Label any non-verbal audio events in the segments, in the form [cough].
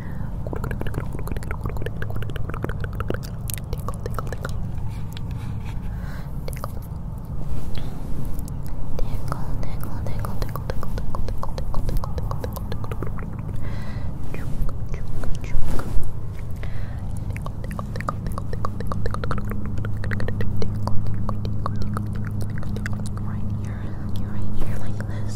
Tickle, tickle, tickle. Tickle. Tickle, tickle, Right here, like this,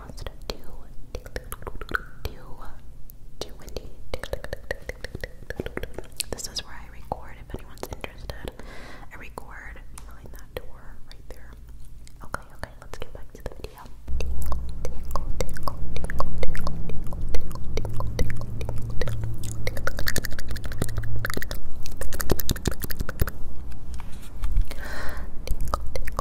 pronounced too, too, too windy. This is where I record if anyone's interested. I record behind that door right there. Okay, okay, let's get back to the video. Tingle, tingle, tingle, tingle, tingle, tingle, tingle, tingle, tingle, tingle, tingle, tingle, tingle, tingle,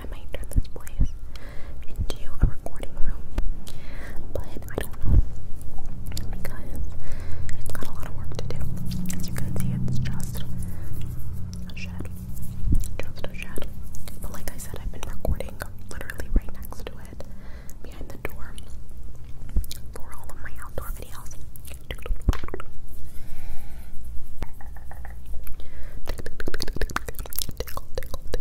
I might turn this place into a recording room, but I don't know because it's got a lot of work to do. As you can see, it's just a shed, just a shed. But like I said, I've been recording literally right next to it, behind the door, for all of my outdoor videos.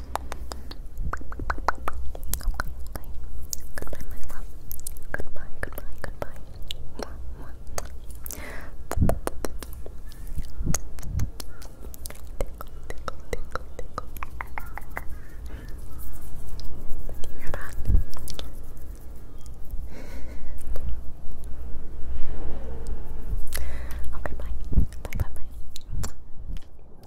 Goodbye. my [laughs] love. Goodbye, goodbye, goodbye. Mwah, mwah. you okay, bye. Bye, bye, bye.